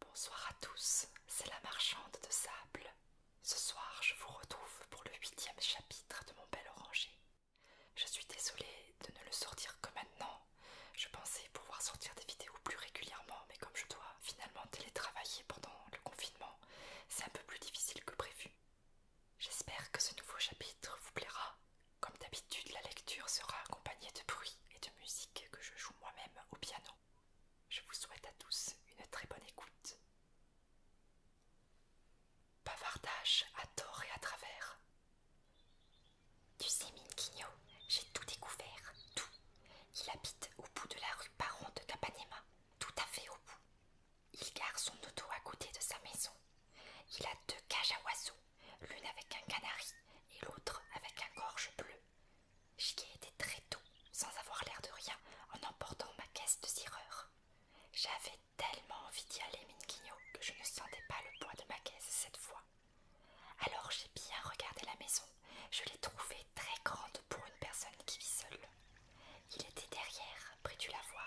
Bonsoir à tous, c'est la marchande de sable. Ce soir, je vous retrouve pour le huitième chapitre de mon bel oranger. Je suis désolée de ne le sortir que maintenant. Je pensais pouvoir sortir des vidéos plus régulièrement, mais comme je dois finalement télétravailler pendant le confinement, c'est un peu plus difficile que prévu. J'espère que ce nouveau chapitre vous plaira. Comme d'habitude, la lecture sera accompagnée de bruits et de musique que je joue moi-même au piano. Je vous souhaite à tous une très bonne écoute. Bavardage à tort et à travers. Tu sais, Minquinho, j'ai tout découvert, tout. Il habite au bout de la rue Baron de Capanema, tout à fait au bout. Il garde son auto à côté de sa maison. Il a deux cages à oiseaux, l'une avec un canari et l'autre avec un gorge bleu. J'y ai été très tôt, sans avoir l'air de rien, en emportant ma caisse de zireur. J'avais tellement envie d'y aller, Minguinho, que je ne sentais pas le poids de ma caisse cette fois. Alors j'ai bien regardé la maison. Je l'ai trouvée très grande pour une personne qui vit seule. Il était derrière, près du lavoir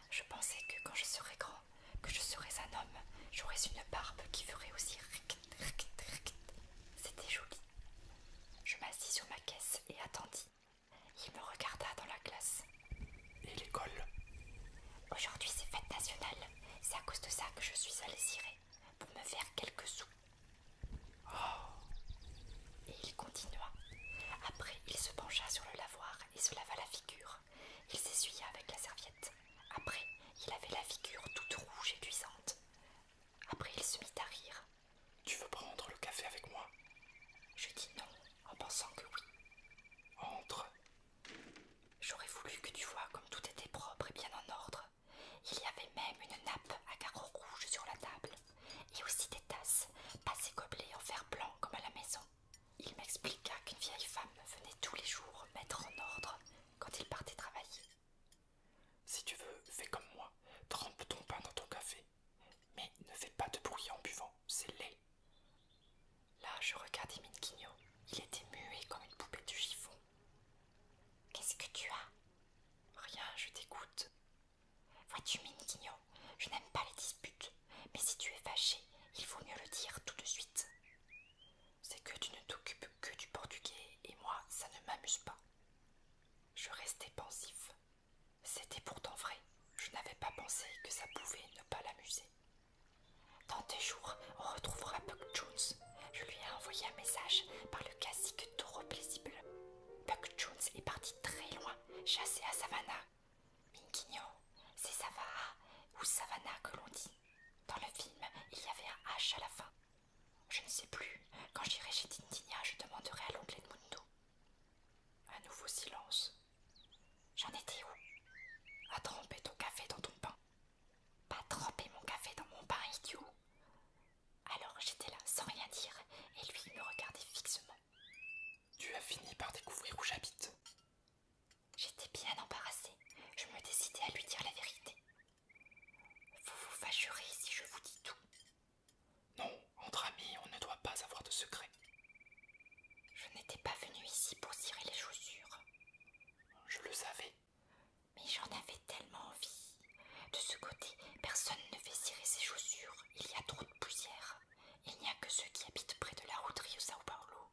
Je pensais que quand je serais grand, que je serais un homme, j'aurais une barbe qui ferait aussi ric, ric, ric. C'était joli. Je m'assis sur ma caisse et attendis. Il me regarda dans la glace. Et l'école Aujourd'hui c'est fête nationale. C'est à cause de ça que je suis allée cirer, pour me faire quelques sous. Oh. Et il continua. Après, il se pencha sur le lavoir se lava la figure. Il s'essuya avec la serviette. Après, il avait la figure toute rouge et luisante. Après, il se mit à rire. Tu veux prendre le café avec moi Je dis non, en pensant que oui. Entre. J'aurais voulu que tu vois comme tout était propre et bien en ordre. Il y avait même une nappe à carreaux rouges sur la table et aussi des tasses, pas ces gobelets en fer blanc comme à la maison. Il m'expliqua qu'une vieille femme venait tous les jours mettre en ordre quand il partait travailler. Si tu veux, fais comme moi, trempe ton pain dans ton café, mais ne fais pas de bruit en buvant, c'est laid. Là, je regardais Minquigno, il était muet comme une poupée de chiffon. Qu'est-ce que tu as Rien, je t'écoute. Vois-tu, Méniquignon, je n'aime pas les disputes, mais si tu es fâché, il vaut mieux le dire tout de suite. C'est que tu ne t'occupes que du portugais, et moi, ça ne m'amuse pas. Je restais pensif. C'était pourtant vrai, je n'avais pas pensé que ça pouvait ne pas l'amuser. Dans tes jours, on retrouvera Buck Jones. Je lui ai envoyé un message par le cacique Taureau plaisible. Buck Jones est parti très loin, chassé à Savannah Minkino, c'est Savara ou Savannah que l'on dit. Dans le film, il y avait un H à la fin. Je ne sais plus. Quand j'irai chez Tintinia, je demanderai à l'oncle Edmundo. Un nouveau silence. J'en étais où À tremper ton café dans ton pain. Pas tremper mon café dans mon pain, idiot. Alors j'étais là sans rien dire et lui me regardait fixement. Tu as fini par découvrir où j'habite. J'étais bien embarrassée. Je me décidais à lui dire la vérité. Vous vous fâcherez si je vous dis tout. Non, entre amis, on ne doit pas avoir de secret. Je n'étais pas venue ici pour cirer les chaussures. Je le savais. Mais j'en avais tellement envie. De ce côté, personne ne fait cirer ses chaussures. Il y a trop poussière. Il n'y a que ceux qui habitent près de la route Rio Sao Paulo.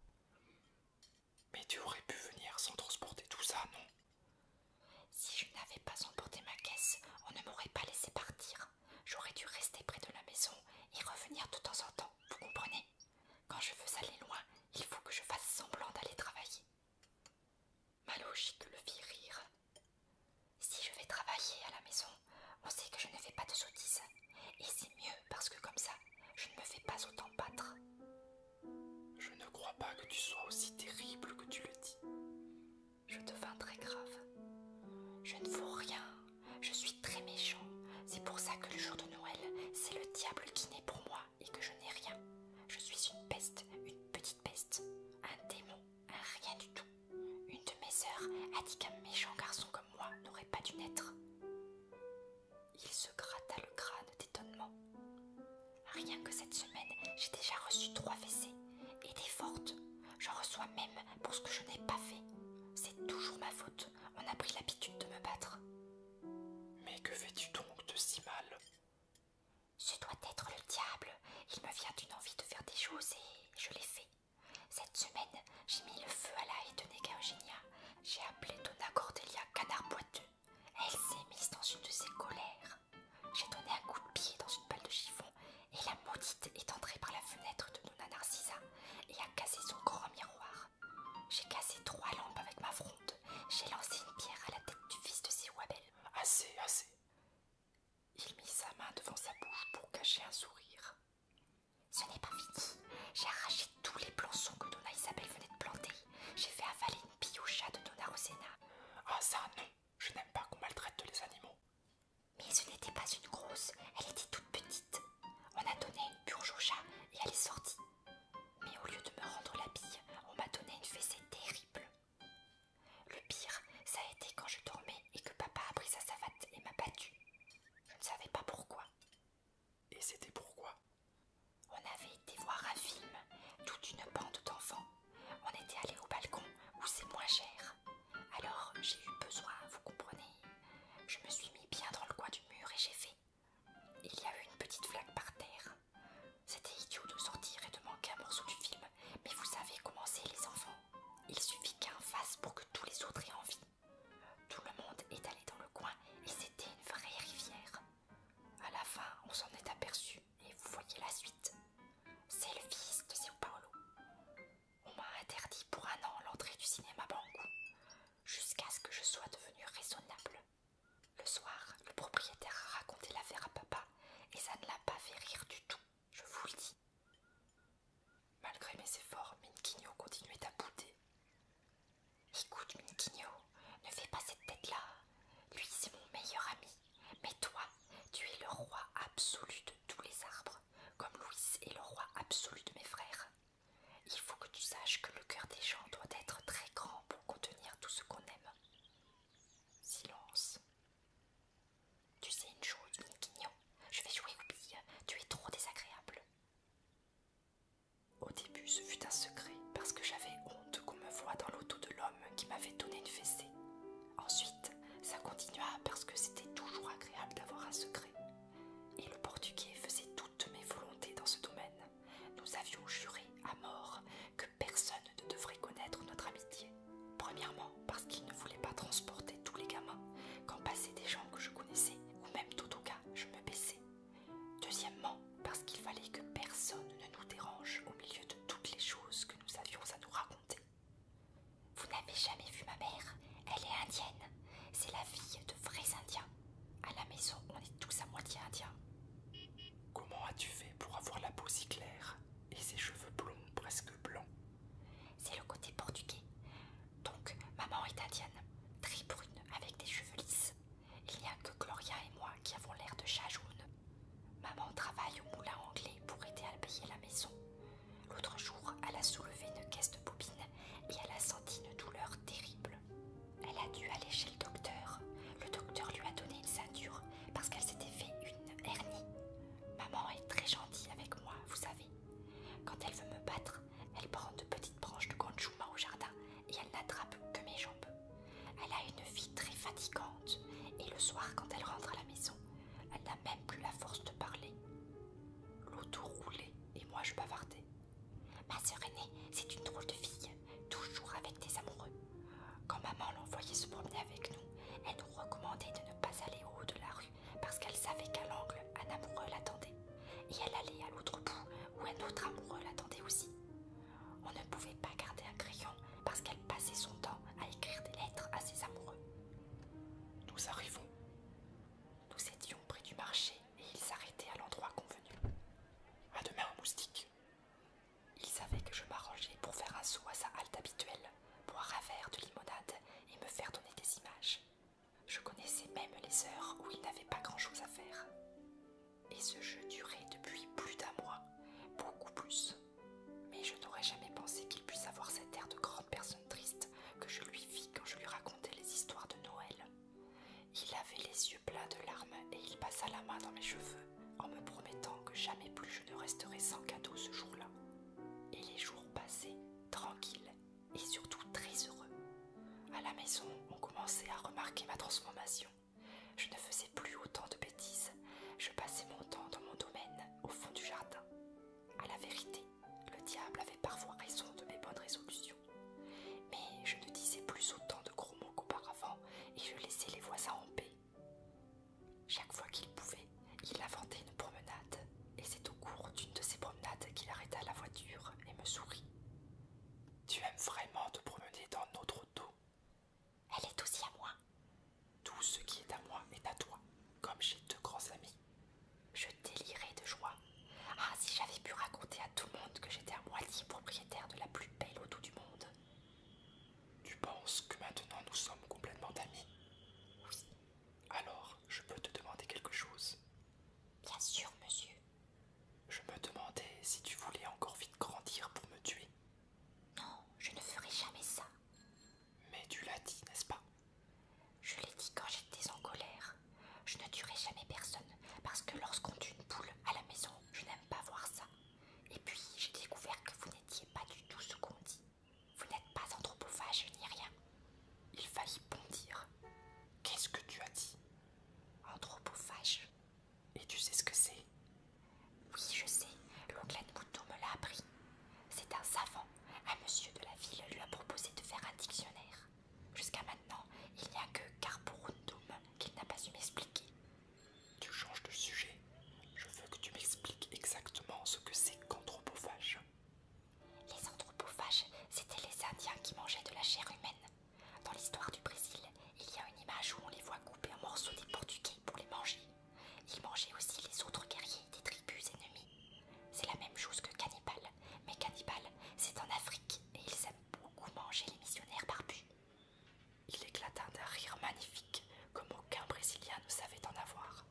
Mais tu aurais pu venir sans transporter tout ça, non Si je n'avais pas emporté ma caisse, on ne m'aurait pas laissé partir. J'aurais dû rester près de la maison et revenir de temps en temps, vous comprenez Quand je veux aller loin, il faut que je fasse semblant d'aller travailler. Ma logique le fit rire, si je vais travailler à la maison, on sait que je ne fais pas de sottises. Et c'est mieux parce que comme ça, je ne me fais pas autant battre. Je ne crois pas que tu sois aussi terrible que tu le dis. Je devins très grave. Je ne vaux rien. Je suis très méchant. C'est pour ça que le jour de Noël, c'est le diable qui naît pour moi et que je n'ai rien. Je suis une peste, une petite peste, un démon, un rien du tout. Une de mes sœurs a dit qu'un méchant garçon comme moi n'aurait pas dû naître. Il se gratta le crâne d'étonnement. Rien que cette semaine, j'ai déjà reçu trois fessées, et des fortes. Je reçois même pour ce que je n'ai pas fait. C'est toujours ma faute, on a pris l'habitude de me battre. Mais que fais-tu donc de si mal ce doit être le diable. Il me vient d'une envie de faire des choses et je l'ai fait. Cette semaine, j'ai mis le feu à la haie de Nega Eugenia. J'ai appelé Donna Cordelia canard boiteux. Elle s'est mise dans une de ses colères. J'ai donné un coup de pied dans une balle de chiffon et la maudite est entrée par la fenêtre de Donna Narcisa et a cassé son grand miroir. J'ai cassé trois lampes avec ma fronde. J'ai lancé une pierre à la tête du fils de wabels. Assez, assez. Il mit sa main devant sa bouche pour cacher un sourire. Ce n'est pas fini. J'ai arraché tous les plançons que Donna Isabelle venait de planter. J'ai fait avaler une bille au chat de Donna Rosena. Ah ça non, je n'aime pas qu'on maltraite les animaux. Mais ce n'était pas une grosse, elle était toute petite. On a donné une purge au chat et elle est sortie. Mais au lieu de me rendre la bille, on m'a donné une fessée terrible. Le pire, ça a été quand je dormais et que papa a pris sa savate et m'a battu. Je ne savais pas pourquoi. Et c'était pourquoi On avait été voir un film, toute une bande d'enfants. On était allés au balcon où c'est moins cher. Alors j'ai eu besoin, vous comprenez. Je me suis mis bien dans le coin du mur et j'ai fait. Il y a eu une petite flaque par terre. C'était idiot de sortir et de manquer un morceau du film, mais vous savez comment c'est les enfants. Il suffit qu'un fasse pour que tous les autres aient envie. Tout le monde est allé dans le coin et c'était une vraie rivière. À la fin, on s'en est aperçu et vous voyez la suite. C'est le fils de São Paolo. On m'a interdit pour un an l'entrée du cinéma Bangou, jusqu'à ce que je sois devenu raisonnable. Le soir, le propriétaire a raconté l'affaire à papa et ça ne l'a pas fait rire du tout, je vous le dis. Malgré mes efforts, Minquino continuait à bouder. Écoute, Minquino, ne fais pas cette tête-là. Lui, c'est mon meilleur ami. Mais toi, tu es le roi absolu de tous les arbres, comme Louis est le roi absolu de mes frères. Il faut que tu saches que le cœur des gens doit être très grand pour contenir tout ce qu'on aime. Silence. Tu sais une chose, mon je vais jouer au tu es trop désagréable. Au début, ce fut un secret parce que j'avais honte qu'on me voie dans l'auto de l'homme qui m'avait donné une fessée. Ensuite, ça continua parce que c'était toujours agréable d'avoir un secret. Et le portugais faisait toutes mes volontés dans ce domaine. Nous avions juré à mort que personne ne devrait connaître notre amitié. Premièrement, parce qu'il ne voulait pas transporter tous les gamins quand passaient des gens que je connaissais, ou même tout au cas, je me baissais. Deuxièmement, parce qu'il fallait que personne ne nous dérange au milieu de toutes les choses que nous avions à nous raconter. Vous n'avez jamais vu ma mère Elle est indienne. C'est la fille de vrais indiens. À la maison, on est tous à moitié indiens. Comment as-tu fait pour avoir la peau si claire et ses cheveux blonds, presque blancs C'est le côté portugais. Donc, maman est indienne, très brune, avec des cheveux lisses. Il n'y a que Gloria et moi qui avons l'air de chat jaune Maman travaille au moulin anglais pour aider à payer la maison. L'autre jour, elle a soulevé une caisse de bobine et elle a senti une douleur terrible. Elle a dû aller chez le docteur. Le docteur lui a donné une ceinture parce qu'elle s'était fait une hernie. Maman est très gentille avec moi, vous savez. Quand elle veut me battre, elle prend de petites branches de ganchouma au jardin et elle n'attrape que mes jambes. Elle a une vie très fatigante et le soir, quand elle rentre à la maison, elle n'a même plus la force de parler. L'auto roulait et moi je bavardais. Ma sœur aînée, c'est une drôle de fille toujours avec des amoureux. Quand maman l'envoyait se promener avec nous, elle nous recommandait de ne pas aller au haut de la rue parce qu'elle savait qu'à l'angle, un amoureux l'attendait. Et elle allait à l'autre bout où un autre amoureux l'attendait aussi. On ne pouvait pas garder un crayon parce qu'elle passait son temps à écrire des lettres à ses amoureux. Nous arrivons. Nous étions près du marché et ils s'arrêtaient à l'endroit convenu. À demain, moustique, il savait que je m'arrangeais pour faire un saut à sa halte habituelle, boire un verre de limonade et me faire donner des images. Je connaissais même les heures où il n'avait pas grand-chose à faire. Et ce jeu durait depuis plus d'un mois, beaucoup plus. Mais je n'aurais jamais pensé qu'il puisse avoir cet air de grande personne triste que je lui vis quand je lui racontais les histoires de Noël. Il avait les yeux pleins de larmes et il passa la main dans mes cheveux en me promettant que jamais plus je ne resterai sans cadeau ce jour-là. Et les jours passaient tranquilles et surtout très heureux. À la maison, on commençait à remarquer ma transformation. Je ne faisais plus autant de bêtises. Je passais mon temps dans mon domaine, au fond du jardin. À la vérité, le diable avait parfois raison de mes bonnes résolutions. Mais je ne disais plus autant de gros mots qu'auparavant et je laissais les voisins en paix. Chaque fois qu'il pouvait, il inventait une promenade, et c'est au cours d'une de ces promenades qu'il arrêta la voiture et me sourit. Tu aimes vraiment te promener dans notre auto Elle est aussi à moi. Tout ce qui est à moi est à toi, comme j'ai deux grands amis. Je délirais de joie. Ah, si j'avais pu raconter à tout le monde que j'étais à moitié propriétaire de la plus belle auto du monde tu penses que maintenant nous sommes complètement amis Oui. Alors, je peux te demander quelque chose Bien sûr, monsieur. Je me demandais si tu voulais encore vite grandir pour me tuer. Non, je ne ferai jamais ça. Mais tu l'as dit, n'est-ce pas Je l'ai dit quand j'étais en colère. Je ne tuerai jamais personne parce que lorsqu'on tue une poule à la maison, je n'aime pas voir ça. Et puis, j'ai découvert que vous n'étiez pas du tout ce qu'on dit. Vous n'êtes pas anthropophage ni rien. Il faillit bondir. Qu'est-ce que tu as dit Anthropophage. Et tu sais ce que c'est Oui, je sais. L'oncle Mouton me l'a appris. C'est un savant. Un monsieur de la ville lui a proposé de faire un dictionnaire. Jusqu'à maintenant, il n'y a que Carborundum qu'il n'a pas su m'expliquer. Tu changes de sujet. Je veux que tu m'expliques exactement ce que c'est qu'anthropophage. Les anthropophages, c'était les Indiens qui mangeaient de la chair humaine. Dans l'histoire du Brésil, il y a une image où on les voit couper en morceaux des Portugais pour les manger. Ils mangeaient aussi les autres guerriers des tribus ennemies. C'est la même chose que cannibale, mais cannibale, c'est en Afrique et ils beaucoup manger les missionnaires barbus. Il éclata d'un rire magnifique, comme aucun Brésilien ne savait en avoir.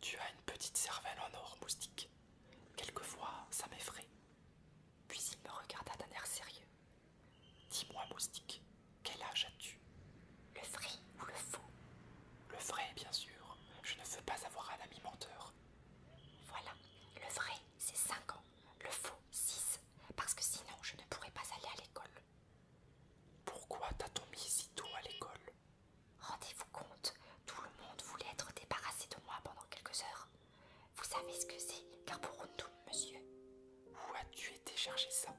Tu as une petite cervelle en or, moustique. Quelquefois, ça m'effraie. Puis il me regarda d'un air sérieux. Dis-moi, moustique, quel âge as-tu Le vrai ou le faux Le vrai, bien sûr. Je ne veux pas avoir un ami menteur. Voilà, le vrai, c'est cinq ans. Le faux, 6, parce que sinon je ne pourrais pas aller à l'école. Pourquoi t'as-t-on mis si tôt à l'école Rendez-vous compte, tout le monde voulait être débarrassé de moi pendant quelques heures. Vous savez ce que c'est Carborundum, monsieur Où as-tu été chargé ça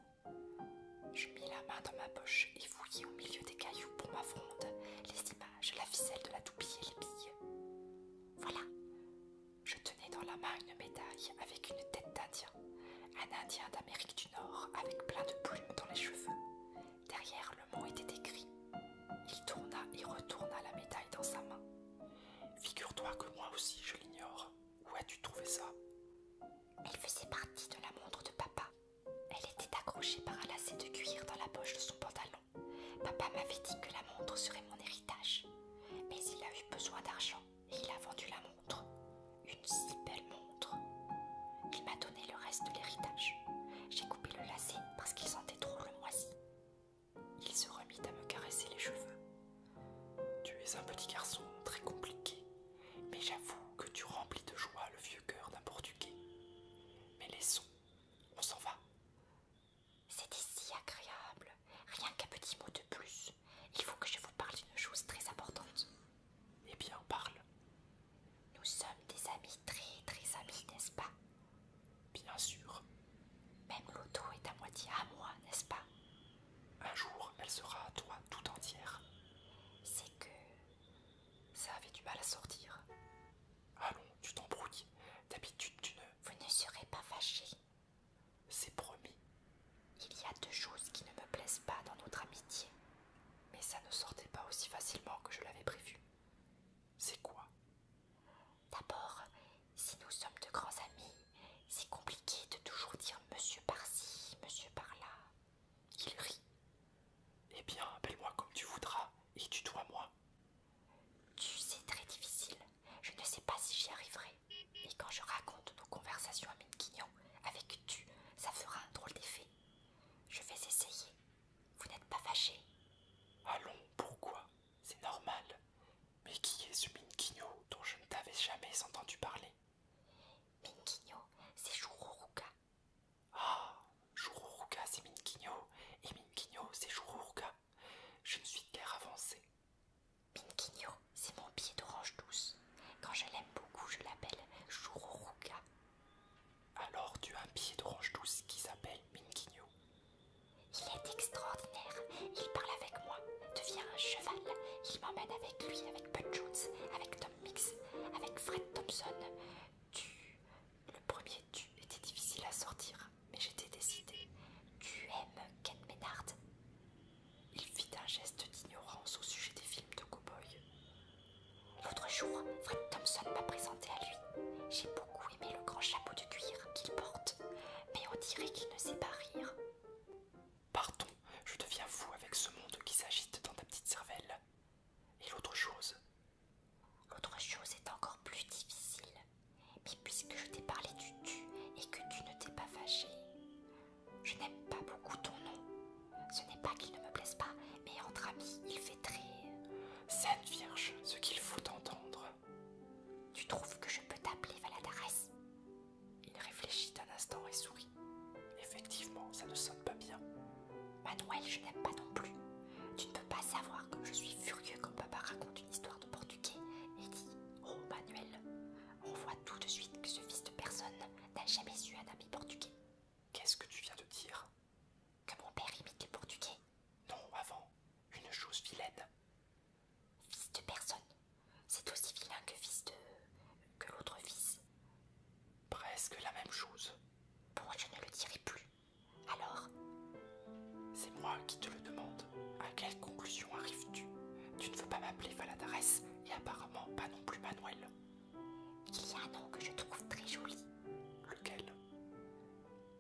Je mis la main dans ma poche et fouillai au milieu des cailloux pour ma fronde, les images, la ficelle de la toupie et les billes. Voilà, je tenais dans la main une médaille avec une tête d'Indien, un Indien d'Amérique du Nord avec plein de plumes dans les cheveux. Derrière le mot était écrit. Il tourna et retourna la médaille dans sa main. Figure-toi que moi aussi je l'ignore. Où as-tu trouvé ça Elle faisait partie de la montre de papa. Elle était accrochée par un lacet de cuir dans la poche de son pantalon. Papa m'avait dit que la montre serait mon héritage, mais il a eu besoin d'argent et il a vendu la montre. Une si belle montre. Il m'a donné le reste de l'héritage. J'ai coupé le lacet parce qu'il sentait trop le moisi. Il se remit à me caresser les cheveux. Tu es un petit garçon très compliqué, mais j'avoue que tu remplis de joie le vieux cœur d'un portugais. Mais laissons, on s'en va. C'était si agréable. Rien qu'un petit mot de plus. Il faut que je vous parle d'une chose très importante. Eh bien, parle. Nous sommes des amis, très très amis, n'est-ce pas Bien sûr. Même l'auto est à moitié à moi, n'est-ce pas Un jour, elle sera à toi tout entière. C'est que... Ça avait du mal à sortir. Allons, tu t'embrouilles. D'habitude, tu ne. Vous ne serez pas fâché. C'est promis. Il y a deux choses qui ne me plaisent pas dans notre amitié. Mais ça ne sortait pas aussi facilement que je l'avais prévu. C'est quoi D'abord, si nous sommes de grands amis, c'est compliqué de toujours dire monsieur par-ci, monsieur par-là. Il rit. Eh bien, appelle-moi comme tu voudras, et tutoie-moi. Tu sais, très difficile. Je ne sais pas si j'y arriverai. Et quand je raconte nos conversations à Minkino avec tu, ça fera un drôle d'effet. Je vais essayer. Vous n'êtes pas fâché Allons, pourquoi C'est normal. Mais qui est ce Minkino dont je ne t'avais jamais entendu parler Minkino, c'est Chururuka. » Ah, c'est Minquinho. et Minkinho c'est Je ne suis guère avancé. Minkino, c'est mon pied d'orange douce. Quand je l'aime beaucoup, je l'appelle Shururuka. Alors tu as un pied d'orange douce qui s'appelle Minkino. Il est extraordinaire. Il parle avec moi, devient un cheval. Il m'emmène avec lui, avec Bud Jones, avec Tom Mix, avec Fred Thompson. Tu. Le premier tu était difficile à sortir, mais j'étais décidée. Tu aimes Ken Maynard ?» Il fit un geste d'ignorance au sujet des films de cow-boy. L'autre jour, Fred Thompson m'a présenté à lui. J'ai beaucoup aimé le grand chapeau de cuir qu'il porte, mais on dirait qu'il ne sait pas rire. Pardon, je deviens fou avec ce monde qui s'agite dans ta petite cervelle. Et l'autre chose, L'autre chose est encore plus difficile, mais puisque je t'ai parlé du tu et que tu ne t'es pas fâché, je n'aime pas beaucoup ton nom. Ce n'est pas qu'il ne me plaise pas, mais entre amis, il fait très. Sainte Vierge, ce qu'il faut entendre. Tu trouves que je peux t'appeler Valadares Il réfléchit un instant et sourit. Effectivement, ça ne sonne pas bien. Manuel, je n'aime pas non plus. Tu ne peux pas savoir comme je suis furieux quand papa raconte une histoire de portugais et dit Oh Manuel On voit tout de suite que ce fils de personne n'a jamais eu un ami portugais. Qu'est-ce que tu viens de dire Que mon père imite les portugais Non, avant, une chose vilaine. Fils de personne C'est aussi vilain que fils de. que l'autre fils. Presque la même chose. Pourquoi je ne le dirai plus. Alors C'est moi qui te le demande. À quelle conclusion arrives-tu Tu ne veux pas m'appeler Valadares et apparemment pas non plus Manuel. Il y a un nom que je trouve très joli. Lequel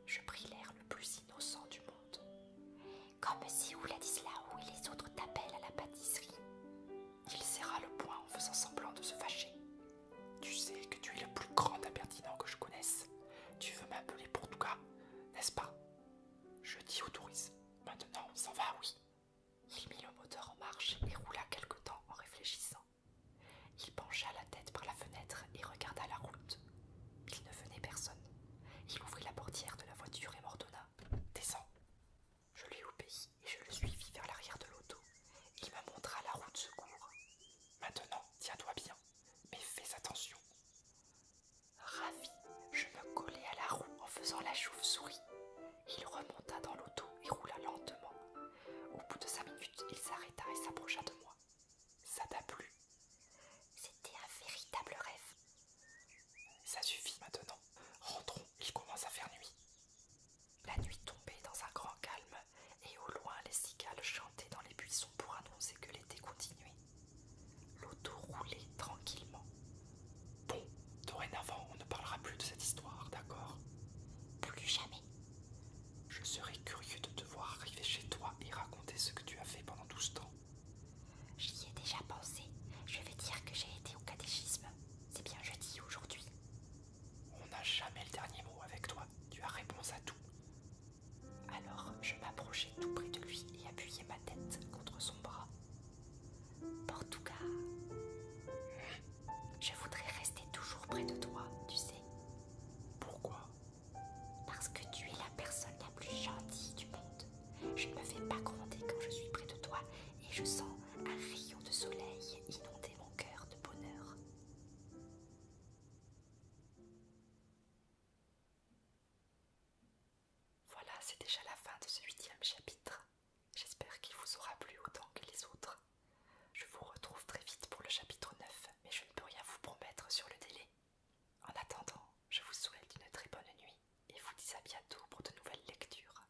Je pris l'air le plus innocent du monde. Comme si Ouladislao et les autres t'appellent à la pâtisserie. Il serra le point en faisant semblant de se fâcher. Tu sais que tu es le plus grand impertinent que je connaisse. Tu veux m'appeler pour tout cas, n'est-ce pas Je dis au autorise. Maintenant, on s'en va, oui. Il mit le moteur en marche et roula quelque temps en réfléchissant. Il pencha la tête par la fenêtre et regarda la route. Il ne venait personne. Il ouvrit la portière de la voiture et m'ordonna. Descends. Je lui obéis et je le suivis vers l'arrière de l'auto. Il me montra la roue de secours. Maintenant, tiens-toi bien, mais fais attention. Ravi, je me collai à la roue en faisant la chauve-souris. Il remonta dans l'auto et roula lentement. Au bout de cinq minutes, il s'arrêta et s'approcha de moi. Ça t'a plu C'était un véritable rêve. Ça suffit maintenant. Rentrons, il commence à faire nuit. La nuit tombait dans un grand calme, et au loin les cigales chantaient dans les buissons pour annoncer que l'été continuait. L'auto roulait tranquillement. Bon, dorénavant, on ne parlera plus de cette histoire, d'accord Plus jamais. Je serais curieux de te voir arriver chez toi et raconter ce que tu as fait pendant tout ce temps. J'y ai déjà pensé. Je vais dire que j'ai été au catéchisme. C'est bien jeudi aujourd'hui. On n'a jamais le dernier mot avec toi, tu as réponse à tout. Alors je m'approchais tout près de lui et appuyai ma tête contre son bras. tout cas je voudrais rester toujours près de toi, tu sais. Pourquoi Parce que tu es la personne la plus gentille du monde. Je ne me fais pas gronder quand je suis près de toi et je sens un rayon de soleil inonder mon cœur bonheur. Voilà, c'est déjà la fin de ce huitième chapitre. J'espère qu'il vous aura plu autant que les autres. Je vous retrouve très vite pour le chapitre 9, mais je ne peux rien vous promettre sur le délai. En attendant, je vous souhaite une très bonne nuit et vous dis à bientôt pour de nouvelles lectures.